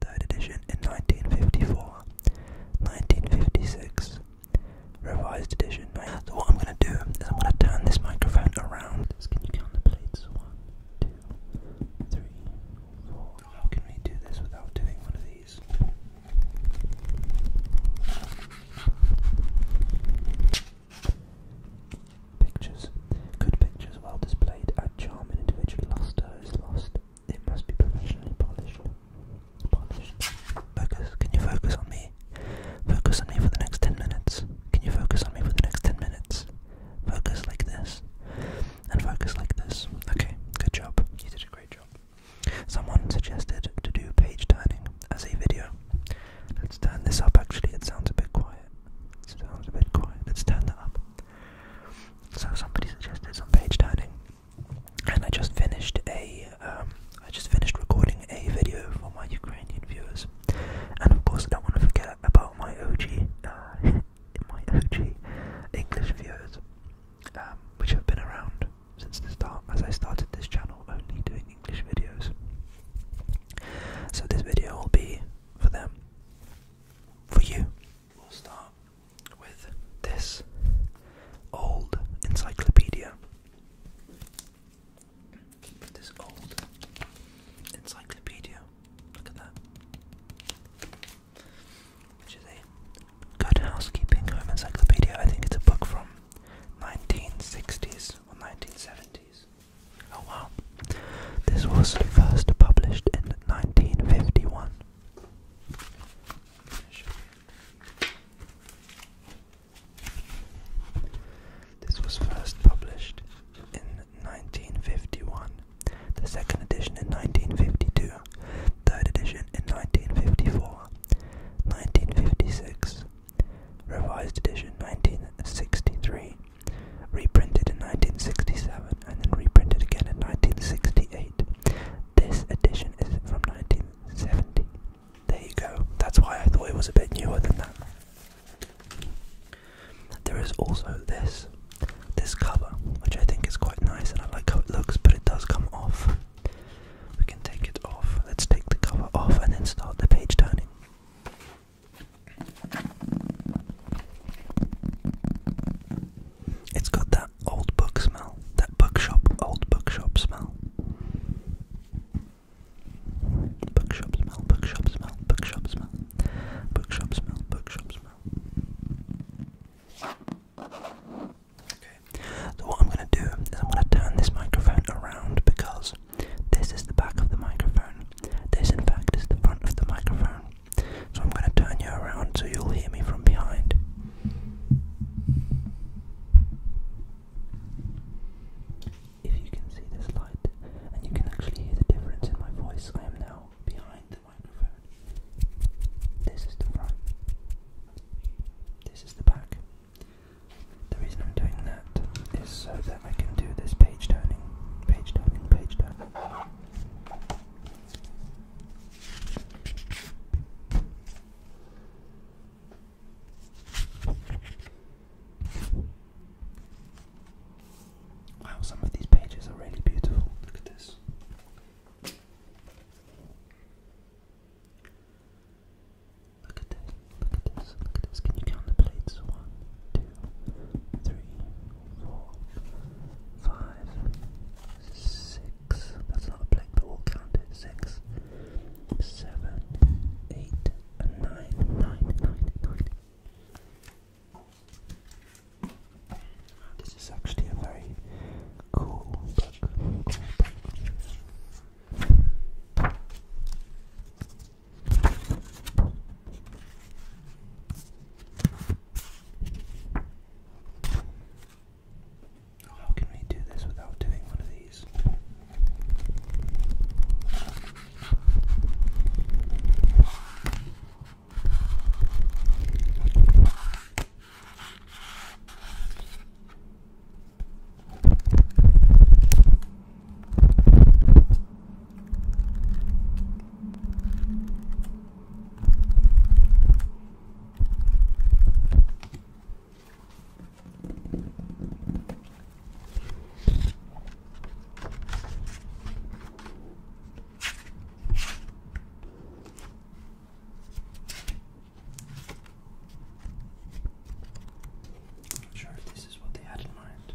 Third edition in 1954, 1956, revised edition. So what I'm going to do is I'm going to turn this microphone around. Can you count the plates? One, two, three, four. How can we do this without doing one of these? Pictures. Good pictures well displayed add charm and individual luster is lost. It must be professionally polished. Focus. Can you focus on me? Focus on me for the next 10 minutes. Can you focus on me for the next 10 minutes? Focus like this. And focus like this. Okay, good job. You did a great job. Someone suggested to do page turning as a video. Let's turn this up actually. It sounds a bit quiet. It sounds a bit quiet. Let's turn that up. So somebody suggested some page turning, and I just finished a um, just finished recording a video for my Ukrainian viewers, and of course I don't want to forget about my OG uh, my OG English viewers, um, which have been around since the start as I started this channel only doing English videos. So this video will be for them, for you, We'll start with this old encyclopedia. This old encyclopedia. Look at that. Which is a good housekeeping home encyclopedia. I think it's a book from 1960s or 1970s. Oh wow. This was first published in 1951. This was first published in 1951, the second edition in 1952, third edition in 1954, 1956, revised edition 1963, reprinted in 1967, and then reprinted again in 1968. This edition is from 1970. There you go. That's why I thought it was a bit newer than that. There is also this, this cover, which I think is quite nice, and I like how it looks, but it does come off. We can take it off. Let's take the cover off and then start the page turning. It's got that old book smell, that bookshop, old bookshop smell. Bookshop smell, bookshop smell, bookshop smell, bookshop smell, bookshop smell. Okay, so what I'm going to do is I'm going to turn this microphone around because this is the back of the microphone. This, in fact, is the front of the microphone. So I'm going to turn you around so you'll hear me from behind. If you can see this light and you can actually hear the difference in my voice, I am now behind the microphone. This is the front. This is the back. The reason I'm doing that is so that I can do this page turning, page turning, page turning. Wow, some of these pages are really beautiful. Look at this. Look at this, look at this, look at this. Can you count the plates? One, two, three, four, five, six, that's not a blink, but we'll count it, six, seven, eight, and nine, nine, nine, nine. This is actually a very Cool book. How can we do this without doing one of these? I'm not sure if this is what they had in mind.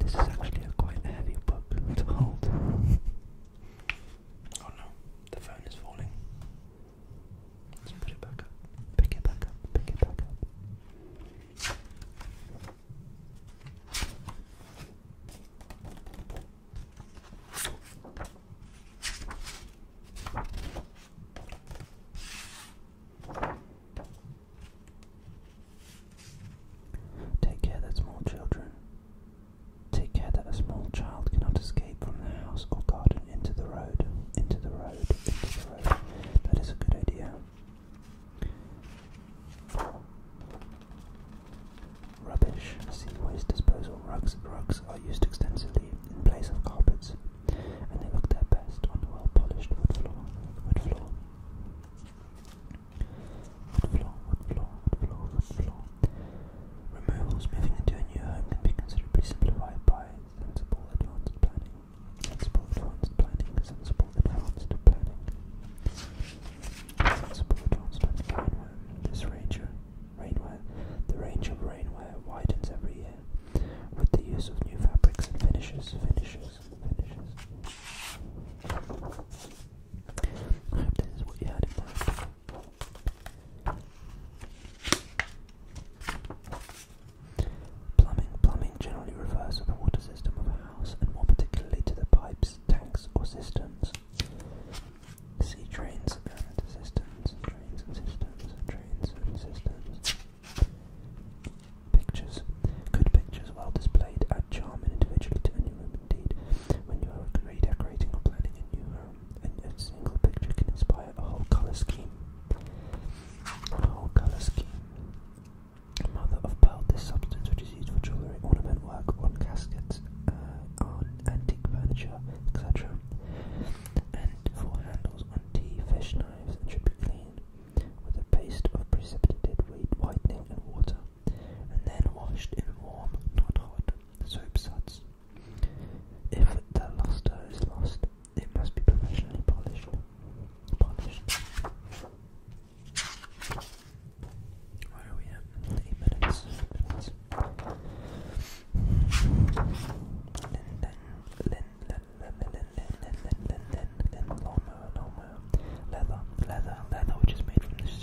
This is actually a quite heavy book to hold. Oh no, the phone is falling. Let's put it back up. Pick it back up. Pick it back up. Take care, there's more children. Take care that a small child cannot escape from the house or garden into the road. Into the road, into the road. That is a good idea. 4. Rubbish, sea waste disposal rugs. Rugs are used extensively in place of carpets, and they look their best on a well-polished wood floor. Wood floor floor, Removals moving into a new home can be considerably simplified by sensible advanced planning. Sensible advanced planning, sensible advanced planning. Sensible advanced planning This ranger rainware the range of rainware widens every year. With the use of new fabrics and finishes, finishes, finishes. I hope this is what you had in mind. Plumbing. Plumbing generally refers to the water system of a house and more particularly to the pipes, tanks or systems. See drains and systems, drains and systems, drains and systems. Pictures. Good pictures well displayed add charm and individually to any room Indeed, when you are redecorating or planning a new home, um, a single picture can inspire a whole colour scheme. A whole colour scheme. Mother of pearl, this substance which is used for jewellery, ornament work, on caskets, uh, antique furniture, etc., and for handles on tea, fish knives, and should with a paste of precipitated whitening and water, and then washed in warm, not hot, soap suds. If the luster is lost, it must be professionally polished. Polished. Where we at? Eight minutes. minutes. Leather, leather, leather, which is made from this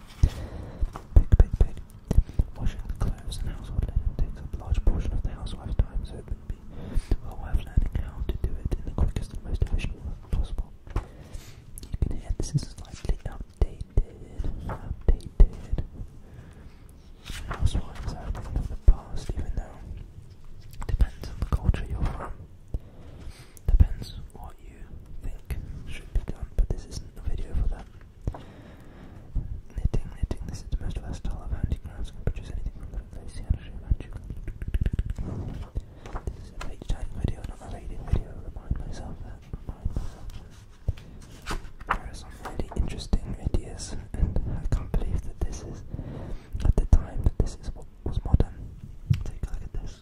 Pig, Washing the clothes and household linen takes up a large portion of the housewife's time, so it would be well learning how to do it in the quickest and most efficient way possible. You can hear this is slightly outdated. Housewives are of the past, even though it depends on the culture you're from. Depends what you think should be done, but this isn't a video for that. Knitting, knitting, this is the most versatile of handicrafts, can produce anything from little lacy and a shoe This is a page not a reading video, remind myself that, uh, remind myself that. Uh, there are some really interesting ideas, and I can't believe that this is, at the time, that this is was modern. Take a look at this.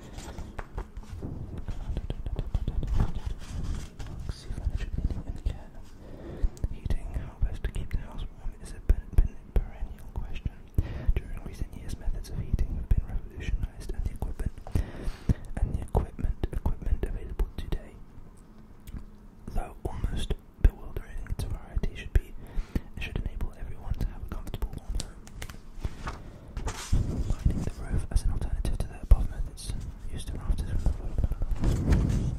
Boxy furniture Heating, how to keep the house warm is a perennial question. During recent years, methods of heating have been revolutionized and the equipment available today. Though almost bewildering, its variety should be it should enable everyone to have a comfortable warm home. Lining the roof as an alternative to the above used to rafters from the roof.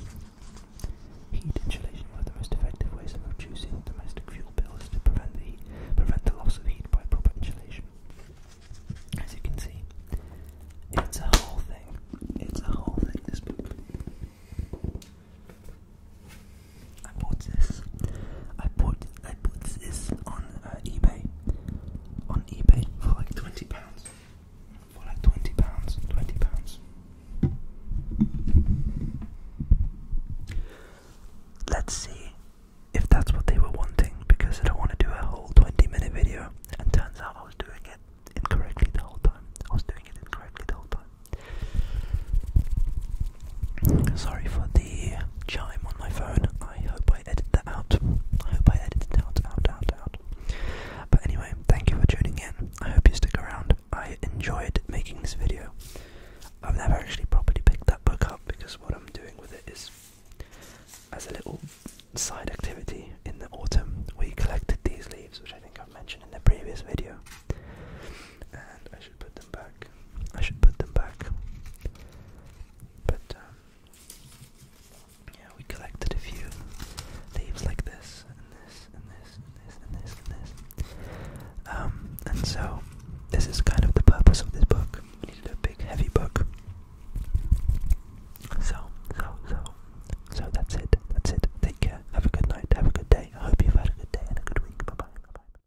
Heat insulation one the most effective ways of reducing domestic fuel bills to prevent the heat, prevent the loss of heat by proper insulation. As you can see, it's a whole thing. It's a whole thing. This book. I bought this. I bought I bought this on uh, eBay. On eBay for like twenty pounds. For like twenty pounds. Twenty pounds. Let's see if that's what they were wanting because I don't want to do a whole twenty minute video. And turns out I was doing it incorrectly the whole time. I was doing it incorrectly the whole time. Sorry for the chime on my phone. I hope I edited that out. I hope I edited it out, out, out, out. But anyway, thank you for tuning in. I hope you stick around. I enjoyed making this video. I've never actually properly picked that book up because what I'm doing with it is as a little side activity in the autumn. We collected these leaves, which I think i mentioned in the previous video. I should put them back. I should put them back. But, um, yeah, we collected a few leaves like this, and this, and this, and this, and this, and this. Um, and so, this is kind of the purpose of this book. We needed big, heavy book. So, so, so, so that's it. That's it. Take care. Have a good night. Have a good day. I hope you've a good day and a good week. Bye bye.